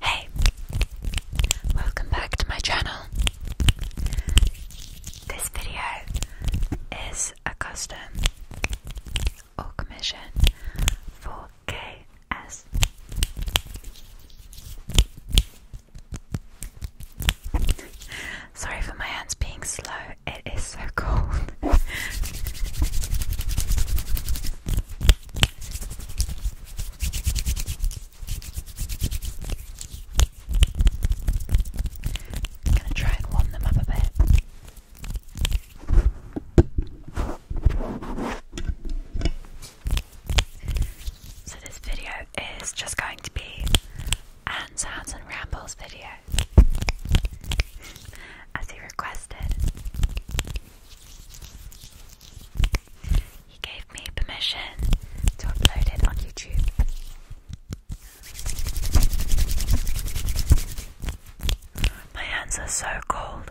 Hey, welcome back to my channel. This video is a custom or commission for KS. Sorry for my hands being slow, it is so cold. I'm going to try and warm them up a bit. So, this video is just going to be and Sounds and Rambles video as he requested. He gave me permission to upload it on YouTube. My hands are so cold.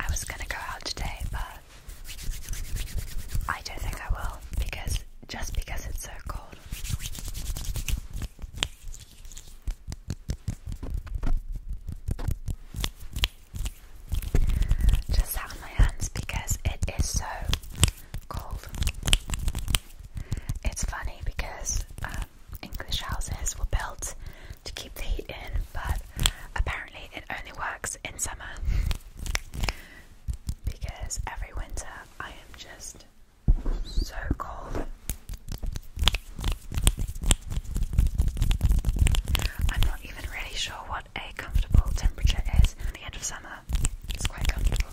I was gonna go out today, but I don't think I will because just because it's so cold. Just sat my hands because it is so cold. It's funny because um, English houses were built to keep the heat in, but apparently it only works in summer because every winter I am just so cold. I'm not even really sure what a comfortable temperature is at the end of summer leather. It's quite comfortable.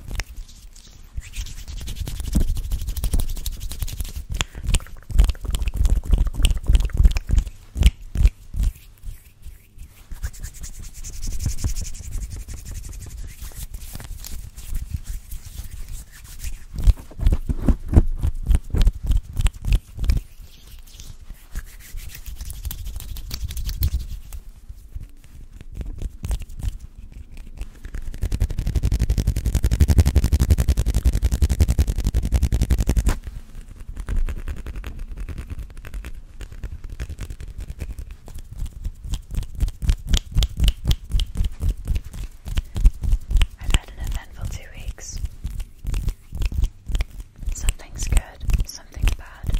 I've had an eventful two weeks. Something's good, something's bad.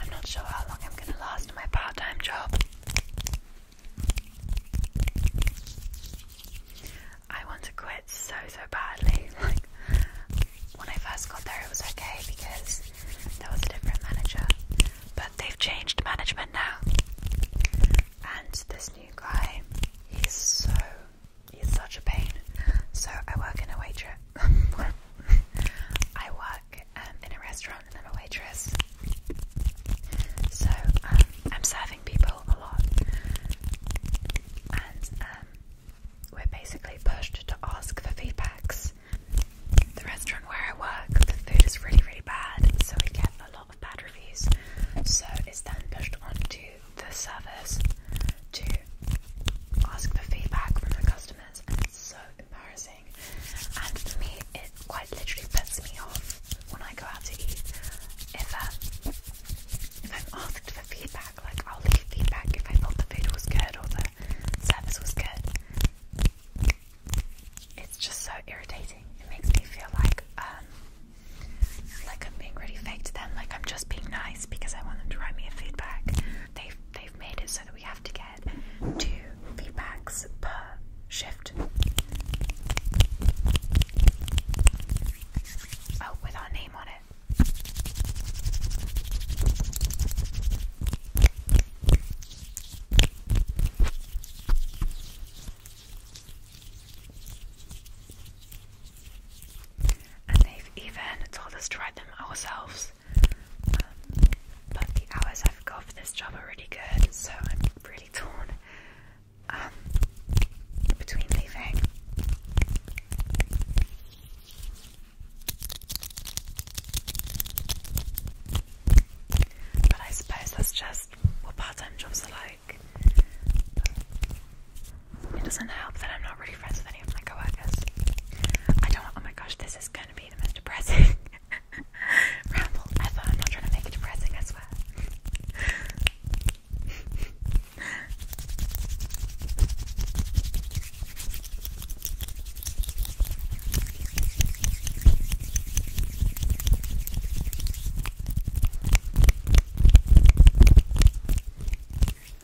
I'm not sure how long I'm gonna last my part time job. I want to quit so, so badly. Like, when I first got there, it was okay because there was a different manager, but they've changed management now. And this new guy, he's so, he's such a pain. So I work in a waitress. I work um, in a restaurant and I'm a waitress. So um, I'm serving people a lot. And um, we're basically pushed to ask for feedbacks. The restaurant where I work, the food is really, really bad, so we get a lot of bad reviews. So it's then pushed on to the servers to ask for feedback from the customers, so embarrassing. And for me, it quite literally puts me off when I go out to eat. If, uh, if I'm asked for feedback, like I'll leave feedback if I thought the food was good or the service was good. It's just so irritating. It makes me feel like um, like I'm being really fake to them, like I'm just being nice because I want them to write me a feedback. They've they've made it so we have to get two feedbacks per shift. Oh, with our name on it. And they've even told us to write them ourselves. Um, but the hours I've got for this job are really good, so I'm really torn um, between leaving. But I suppose that's just what part-time jobs are like. It doesn't help that I'm not really friends with any of my coworkers. I don't. Oh my gosh, this is going to be. It's depressing ramble I'm not trying to make it depressing, I swear.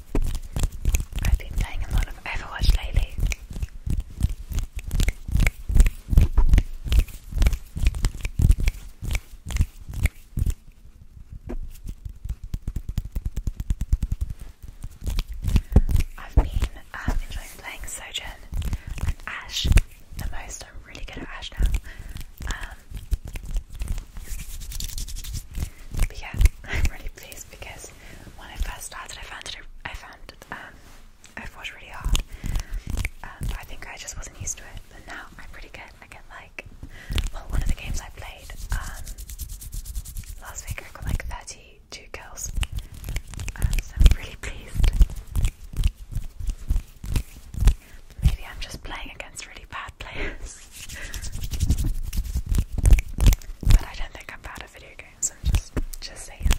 I've been playing a lot of Overwatch lately. I've been um, enjoying playing Sojourn and Ash the most. I'm really good at Ash now. Um, but yeah, I'm really pleased because when I first started, I found it, I found um, it, um, really hard. Um, but I think I just wasn't used to it, but now I'm pretty good. I get like, well, one of the games I played um, last week, I got like 32 kills, I'm really pleased. Maybe I'm just playing against really bad players, but I don't think I'm bad lot of video games. I'm just just saying that.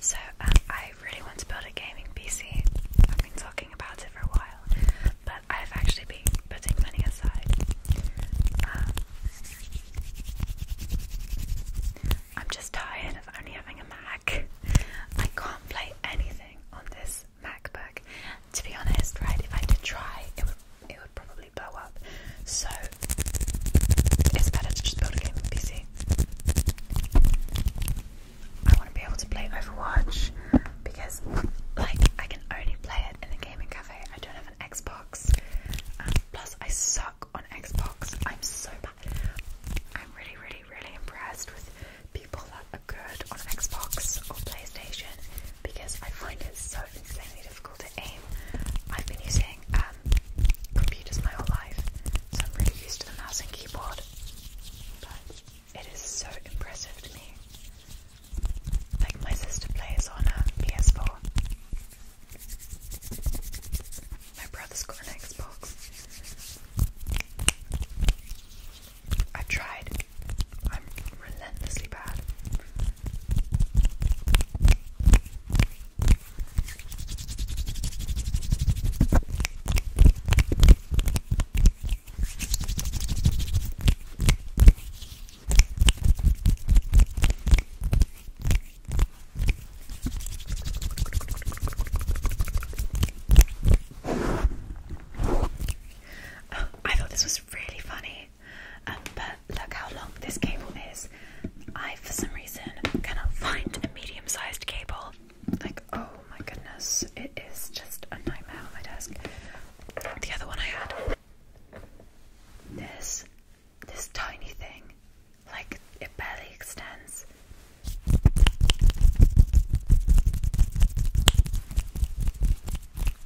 So, um, I really want to build a gaming PC. I've been talking about it for a while, but I've actually been putting money aside. Um, I'm just tired of only having a Mac. I can't play anything on this MacBook. To be honest, right? If I did try, it would probably so it's better to just build a gaming PC. I want to be able to play Overwatch because, like, I can only play it in a gaming cafe. I don't have an Xbox. Um, plus, I suck on Xbox. I'm so bad. I'm really, really, really impressed with people that are good on Xbox or PlayStation because I find it so insanely difficult to aim. I've been using um, computers my whole life, so I'm really used to the mouse and keyboard, but it is so impressive to me. Like, my sister plays on a PS4, my brother's got an Xbox. I tried, I'm relentlessly bad. Oh, I thought this was really funny. Um, but look how long this cable is. I, for some reason, cannot find a medium sized cable. Like, oh my goodness, it is just a nightmare on my desk. The other one I had, this, this tiny thing, like, it barely extends.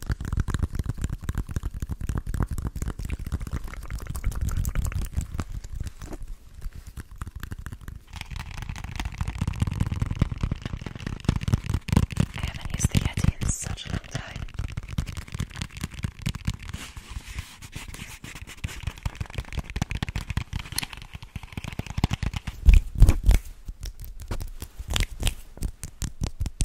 I haven't used the Yeti in such a long time.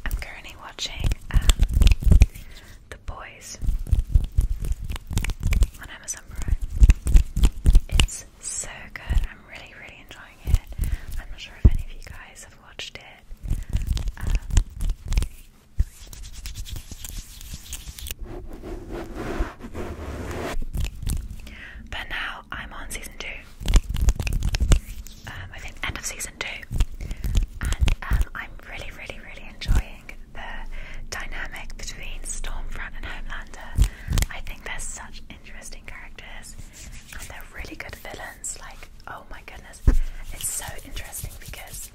I'm currently watching um, The Boys on Amazon Prime. It's so good. I'm really, really enjoying it. I'm not sure if any of you guys have watched it. Um, but now I'm on season two. Um, I think end of season two, and um, I'm really, really, really enjoying the dynamic between Stormfront and Homelander. I think they're such interesting characters, and they're really good villains. Like, oh my goodness, it's so interesting because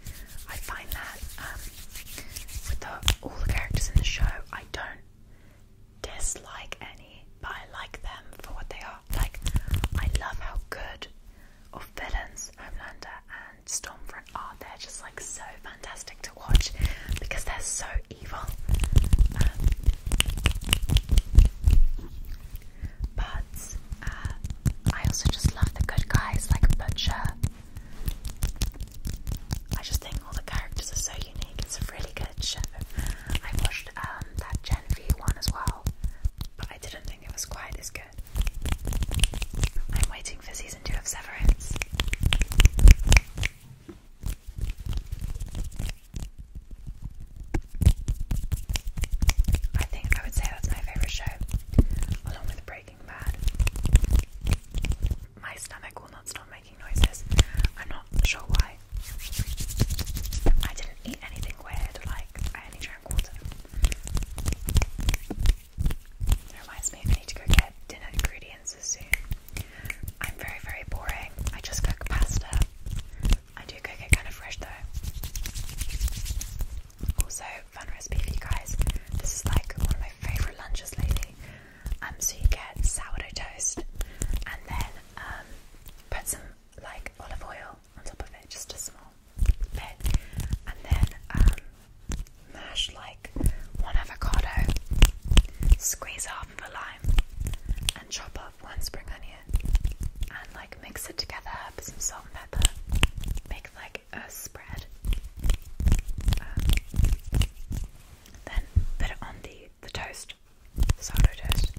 I find that um, with all the characters in the show, I don't dislike any, but I like them for what they are. Like, I love how good of villains Homelander and Stormfront are. They're just like so fantastic to watch because they're so evil. Um, but uh, I also just love the good guys like Butcher. I just think all the characters are so unique. It's really good show. I watched um, that Gen V one as well, but I didn't it was quite as good. I'm waiting for season two of Severance. I think I would say that's my favourite show, along with Breaking Bad. My stomach will not stop making noises. I'm not sure why. I didn't eat anything weird, like, I reminds me, I need to go get dinner ingredients soon. I'm very, very boring. I just cook pasta. I do cook it kind of fresh though. Also, fun recipe for you guys. This is like one of my favourite lunches lately. Um, so you get sourdough toast and then um, put some like olive oil on top of it, just a small bit, and then um, mash like one avocado, squeeze half of a lime, and chop up one spring onion, and like mix it together, put some salt and pepper, make like a spread. Um, then put it on the the toast, sourdough toast,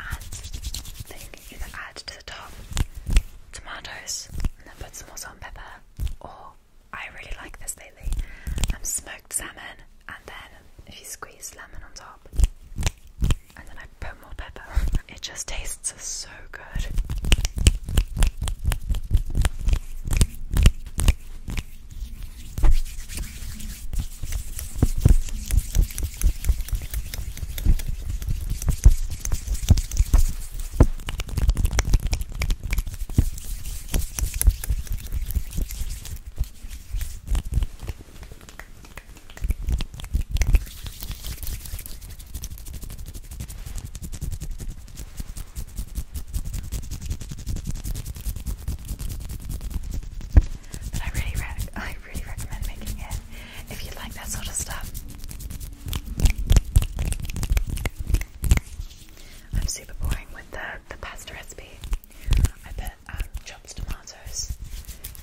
and thing you either add to the top tomatoes and then put some more salt and pepper, or I really like this lately, um, smoked salmon, and then if you squeeze lemon on top, and then I put more pepper. It just tastes so good. But I really, I really recommend making it if you like that sort of stuff. I'm super boring with the, the pasta recipe. I put um, chopped tomatoes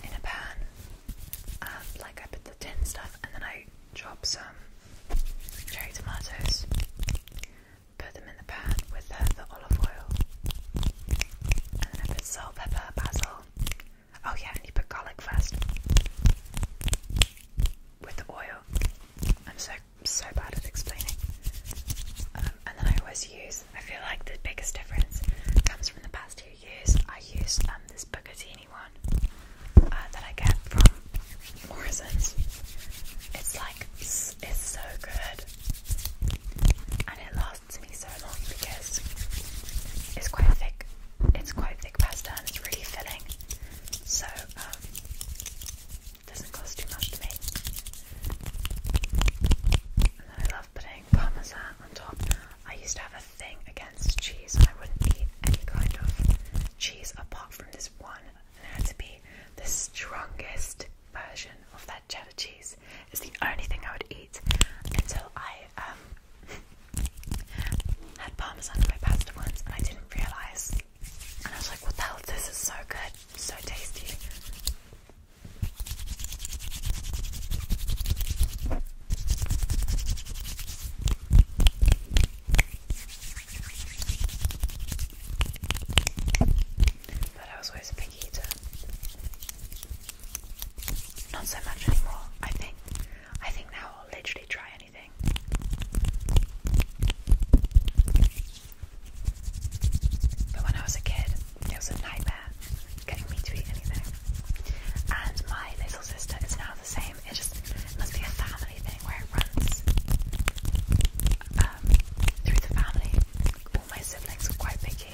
in a pan, um, like I put the tin stuff, and then I chop some cherry tomatoes, put them in the pan with the olive oil, and then I put salt, pepper, basil, Oh yeah, and you put garlic first with the oil. I'm so so bad at explaining. Um, and then I always use. I feel like the biggest difference comes from the past few years. I use um, this bucatini one uh, that I get from Morrison's. It's like it's so good, and it lasts lasts me so long it's quite thick. It's quite thick pasta and it's really filling. So um, it doesn't cost too much to me. And I love putting parmesan on top. I used to have a thing against cheese. I wouldn't eat any kind of cheese apart from this one. And it had to be the strongest version of that cheddar cheese rice is the only thing I would eat until I um, had parmesan on pasta once and I didn't realise. And I was like, what the hell this? is so good, so tasty. But I was always a picky eater. Not so much anymore, I think. I think now I'll literally try anything. But when I was a kid, it was a nightmare getting me to eat anything. And my little sister is now the same. It just must be a family thing where it runs um, through the family. All my siblings were quite picky.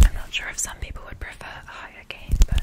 I'm not sure if some people would prefer a higher gain, but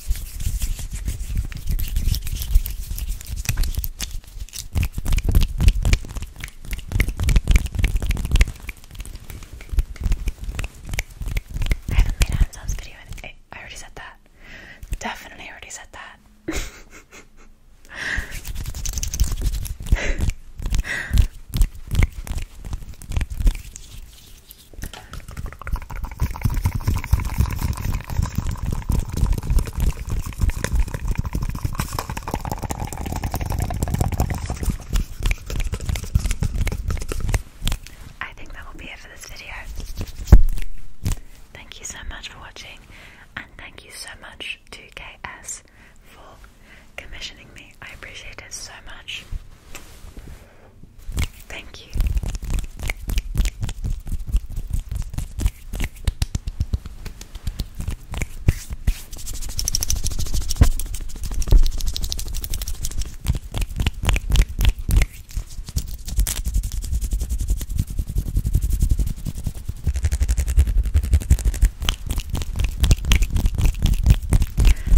I haven't made a video I already said that. Definitely already said that. I think that will be it for this video. Thank you so much for watching, and thank you so much to KS for commissioning me. I appreciate it so much. Thank you.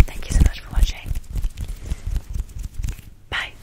Thank you so much for watching. Bye.